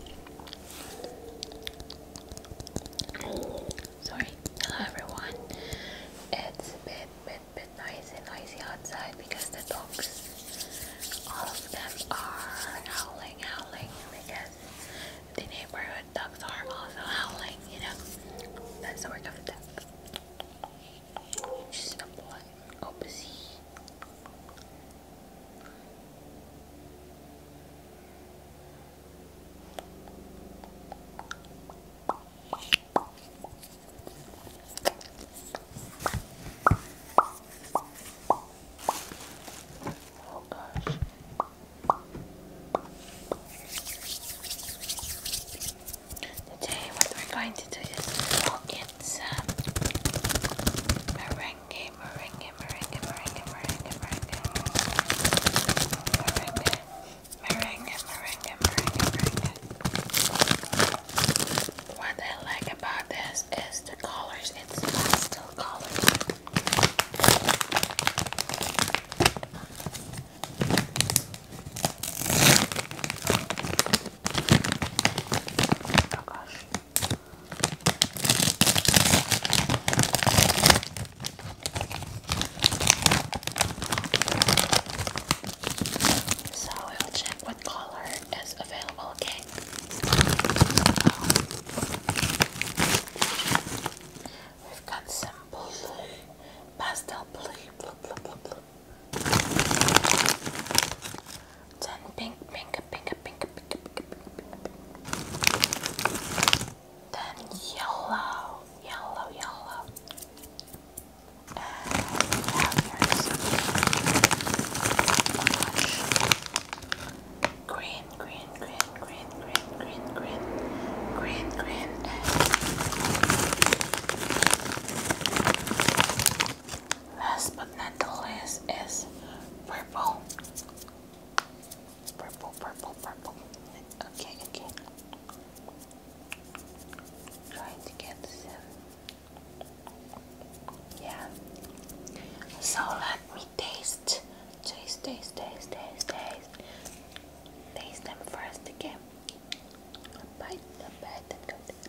Sorry, hello everyone. It's a bit, bit, bit noisy, noisy outside because the dogs, all of them are howling, howling because the neighborhood dogs are also howling, you know. That's the work of the dog. a boy. Oh, busy. Oh gosh. Today what we're going to do is look at some meringue merengue, merengue, merengue, What I like about this is the colors. It's pastel colors. Oh gosh. So I will check what color is available, okay? We've got some blue, pastel blue, blue, blue, blue. Then pink, pink, pink, pink, pink, pink, pink. Then yellow, yellow, yellow. And green, green, green, green, green, green, green, green, green. And Last but not the least is purple. Purple, purple, purple. Okay, okay. Trying to get this in. Yeah. So let me taste. Taste, taste, taste, taste, taste. Taste them first again. A bite, a bite, a bite.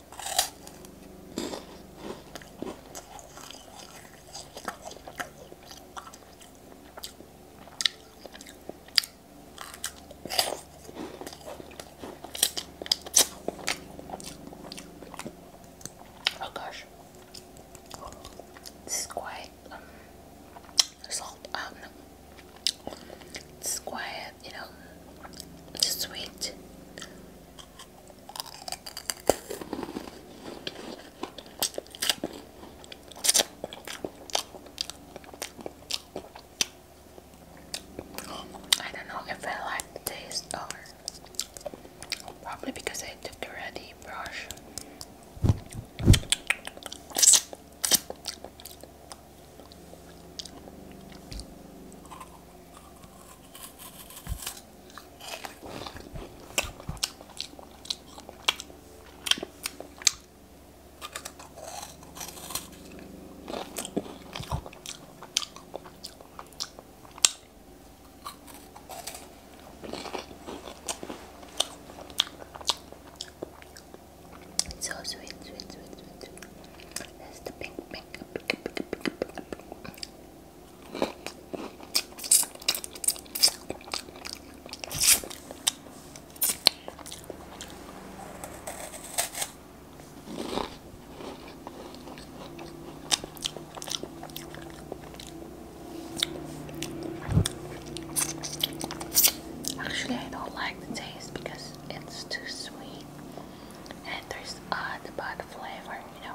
Oh gosh, this quite um, salt. Um, it's quite you know sweet. I don't know if I like the taste or probably because I took the ready brush. So sweet, sweet, sweet, sweet. That's the pink, pink. Actually, I don't like the taste because it's too sweet and there's odd uh, bad flavor, you know.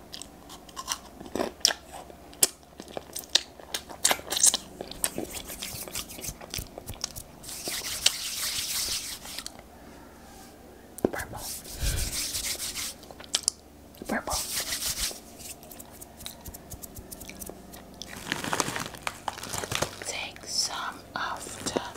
Purple. Purple. Take some of the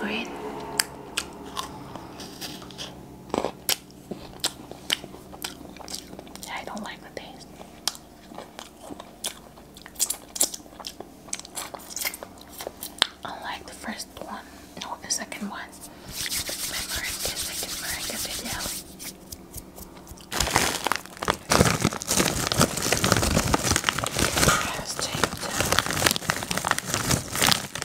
Agreed. I don't like the taste. Unlike the first one, no, the second one. My Marika, second Marika video. It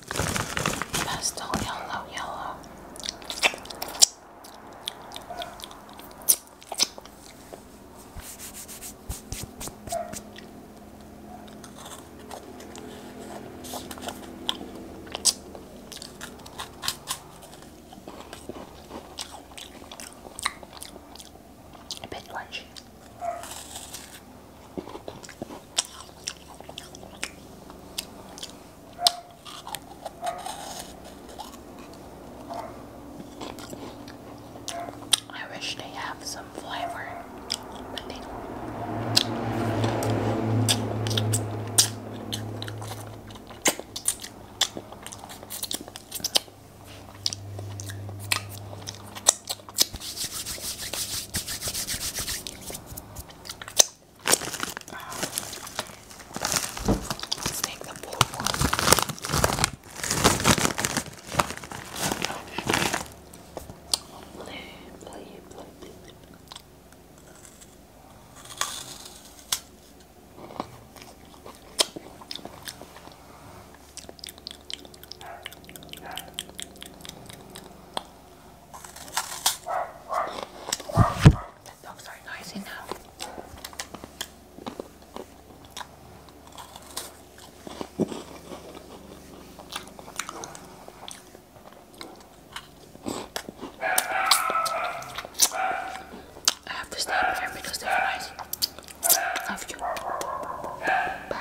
Pastel yellow, yellow. A bit crunchy. I wish they have some flavor, but they um, let's take the blue one. Blue, blue, blue, blue. The dogs are noisy now. I have to stop here because they're noisy. Love you. Bye.